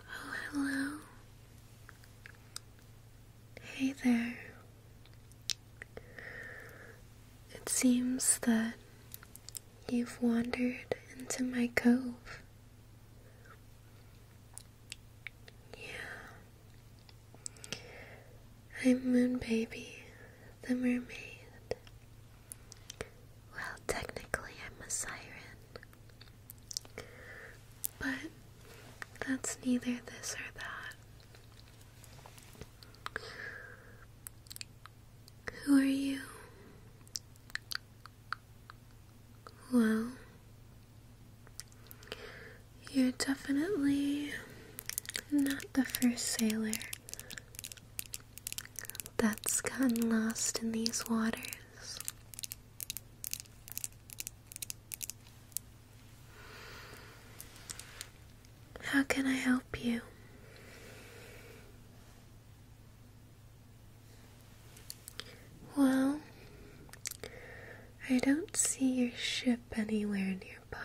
Oh, hello. Hey there. It seems that you've wandered into my cove. Yeah. I'm Moon Baby, the mermaid. Well, technically, I'm a siren. But that's neither this or that. Who are you? Well, you're definitely not the first sailor that's gotten lost in these waters. How can I help you? Well, I don't see your ship anywhere nearby.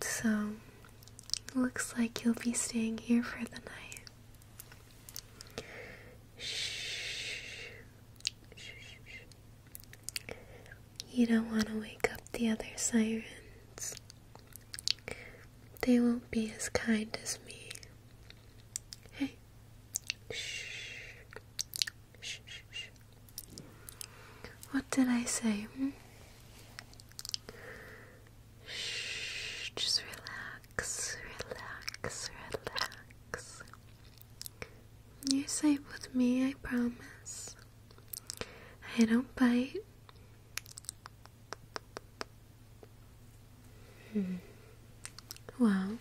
So, looks like you'll be staying here for the night. Shh. You don't want to wake up the other sirens. They won't be as kind as me. Hey. Shh. Shh, shh, What did I say? Hmm? Shh, just relax, relax, relax. You're safe with me, I promise. I don't bite. Hmm. Well,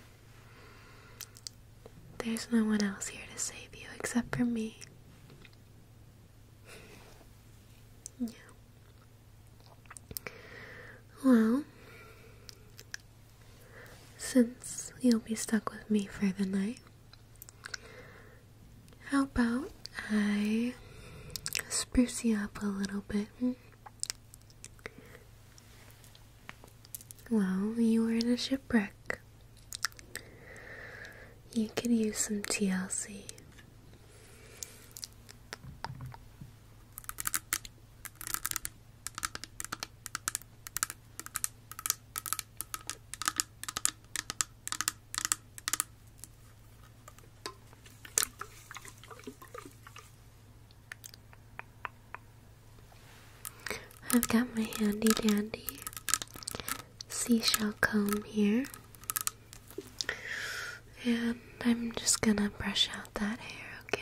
there's no one else here to save you except for me. Yeah. Well, since you'll be stuck with me for the night, how about I spruce you up a little bit? Well, you were in a shipwreck. You could use some TLC. I've got my handy dandy seashell comb here. And I'm just gonna brush out that hair, okay?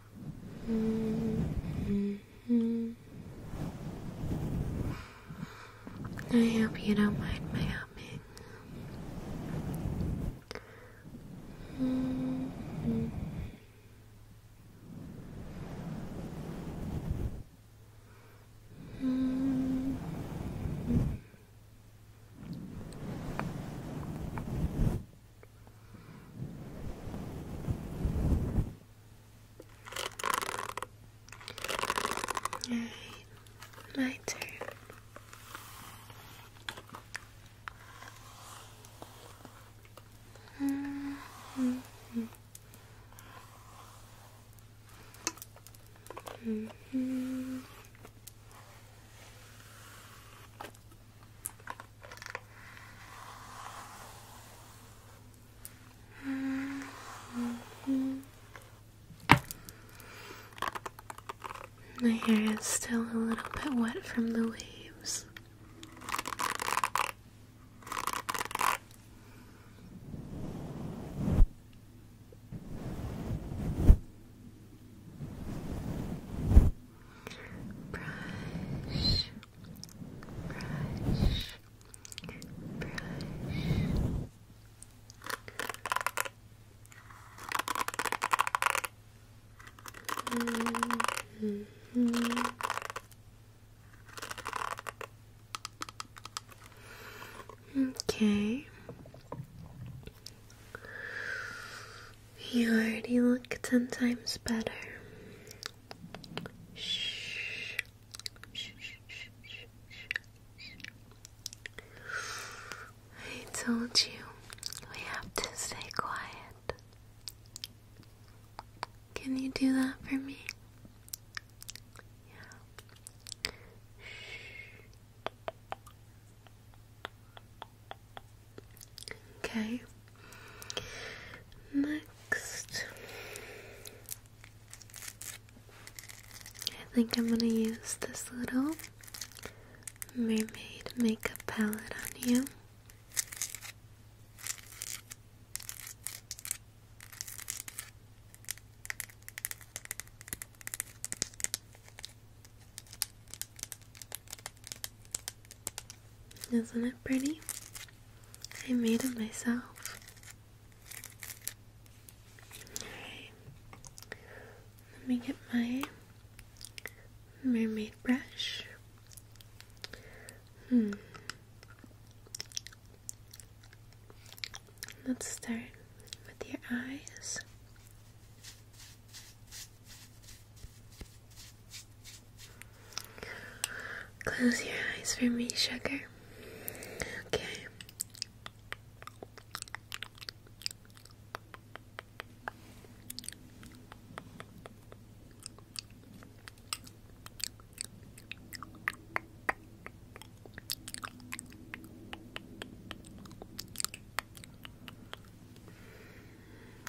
I hope you don't mind my helping. Alright, my turn. Mm -hmm. Mm -hmm. My hair is still a little bit wet from the waves. Brush brush, brush. Mm -hmm. Okay. You already look ten times better. Shh. Shh, shh, shh, shh, shh. I told you we have to stay quiet. Can you do that for me? Yeah. Shh. Okay. Next, I think I'm going to use this little mermaid makeup palette on you. Isn't it pretty? I made it myself. Alright. Let me get my mermaid brush. Hmm. Let's start with your eyes. Close your eyes for me, sugar. Okay.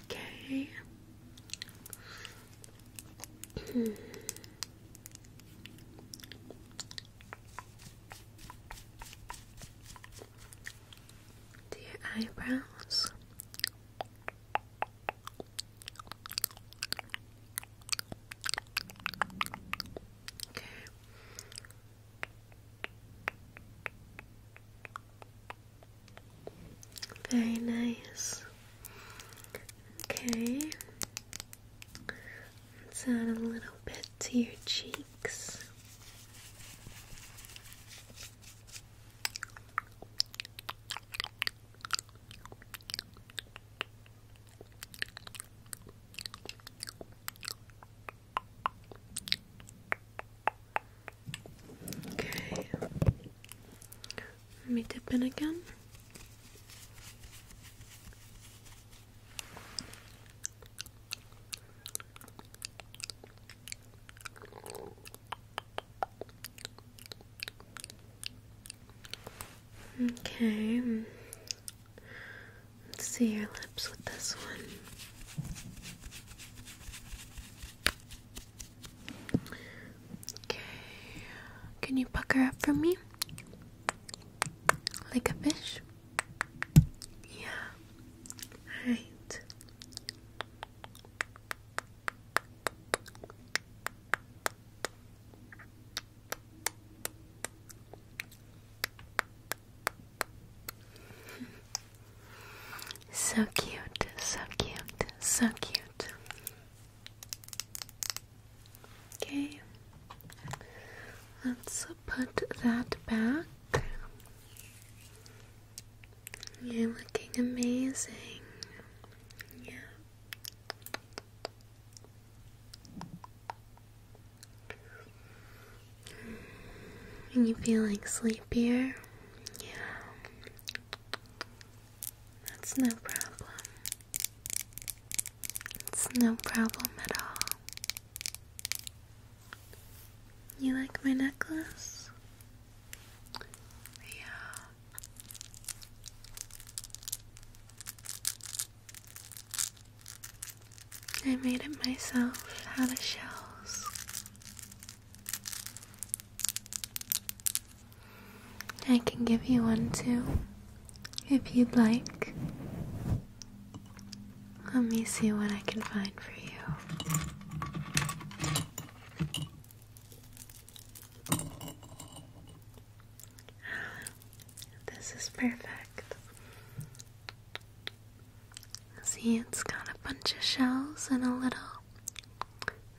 Okay. Hmm. to your eyebrows. Very nice. Okay. Let's add a little bit to your cheeks. Okay. Let me dip in again. Okay. Mm. see your lips with this one. Okay. Can you pucker up for me? Like a fish? Yeah. Alright. So cute, so cute, so cute. Okay, let's put that back. You're looking amazing. Yeah. Are you like sleepier? Yeah. That's no problem. It's no problem at all. You like my necklace? Yeah. I made it myself out of shells. I can give you one too, if you'd like. Let me see what I can find for you. This is perfect. See, it's got a bunch of shells and a little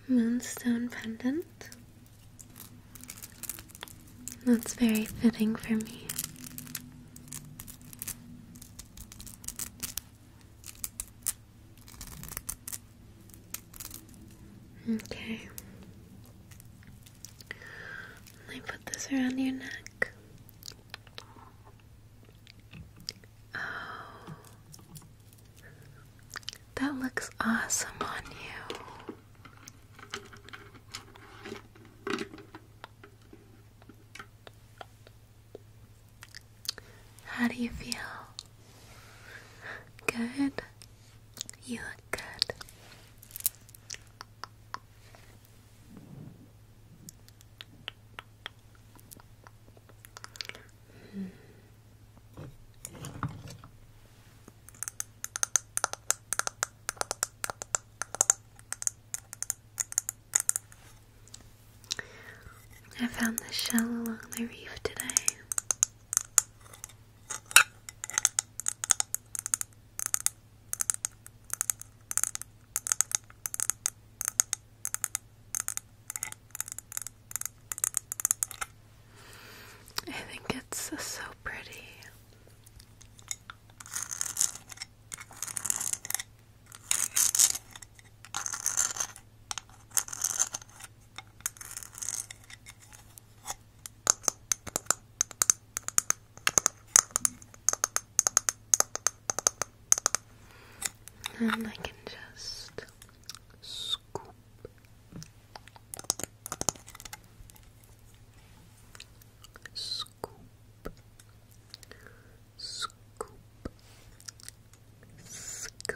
moonstone pendant. That's very fitting for me. Okay. Let me put this around your neck. Oh. That looks awesome on you. How do you feel? Good? You look good. I found the shell along the reef today. I think it's so pretty and I can just scoop. Scoop, scoop, scoop, scoop, scoop,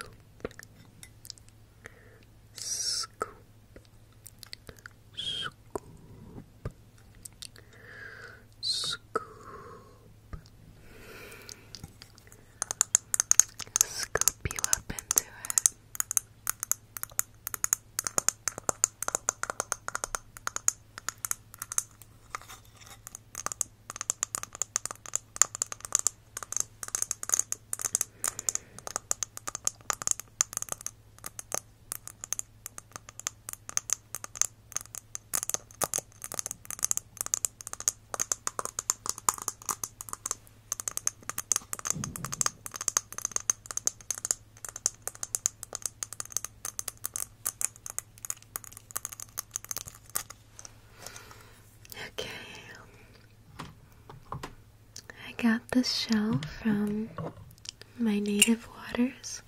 scoop, Scoop you up into it. Good. Okay. I got this shell from my native waters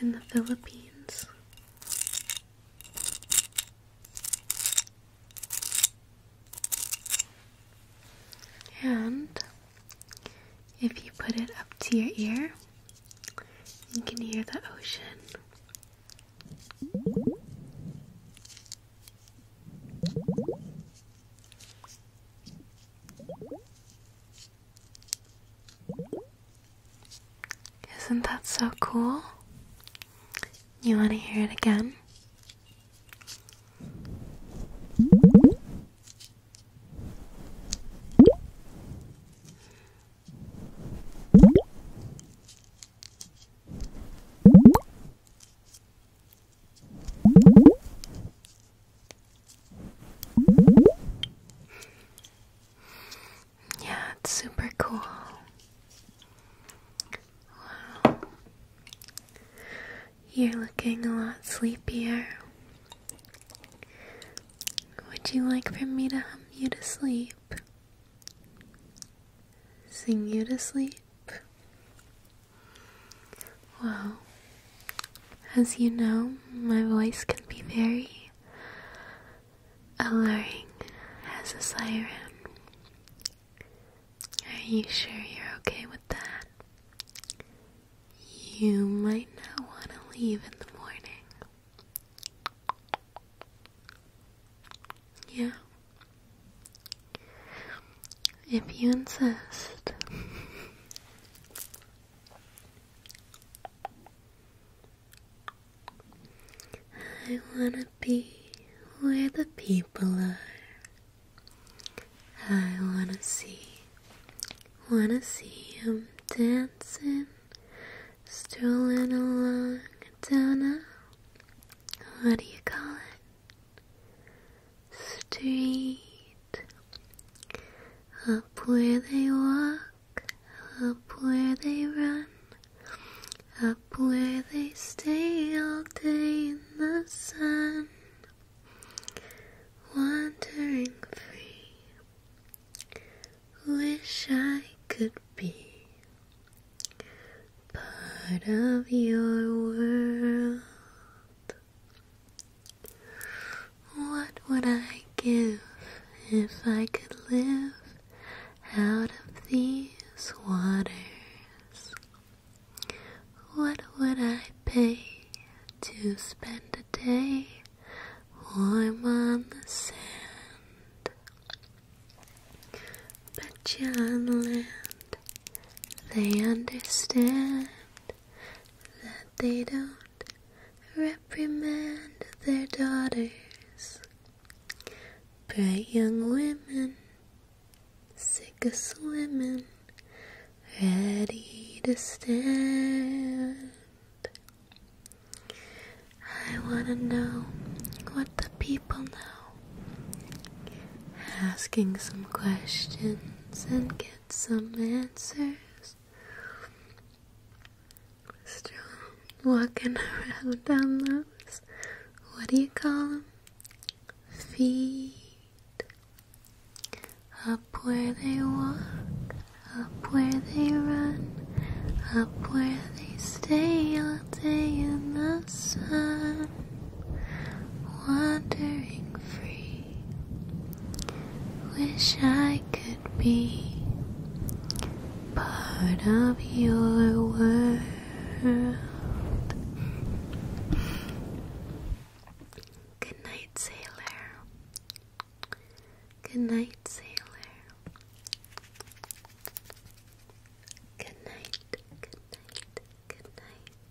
in the Philippines. And if you put it up to your ear, you can hear the ocean. Isn't that so cool? You want to hear it again? Yeah, it's super cool. Wow. You're looking a lot sleepier. Would you like for me to hum you to sleep? Sing you to sleep? Well, as you know, my voice can be very alluring as a siren. Are you sure you're okay with that? You might not want to leave in the morning. Yeah. If you insist. I wanna be where the people are. I wanna see, wanna see 'em dancing, strolling along down a, what do you call it? Street. Up where they walk, up where they run, up where they stay all day in the sun, wandering free. Wish I could be part of your world. What would I give if I could live out of these waters? What would I pay to spend a day warm on the sand? But you on the land, they understand that they don't reprimand their daughters. Bright young women, sick of swimming, ready to stand. I wanna know what the people know. Asking some questions and get some answers. Still walking around on those, what do you call them? Feet. Up where they walk, up where they run, up where they stay all day in the sun, wandering free. Wish I could be part of your world. Good night, sailor. Good night, sailor. Good night, good night, good night.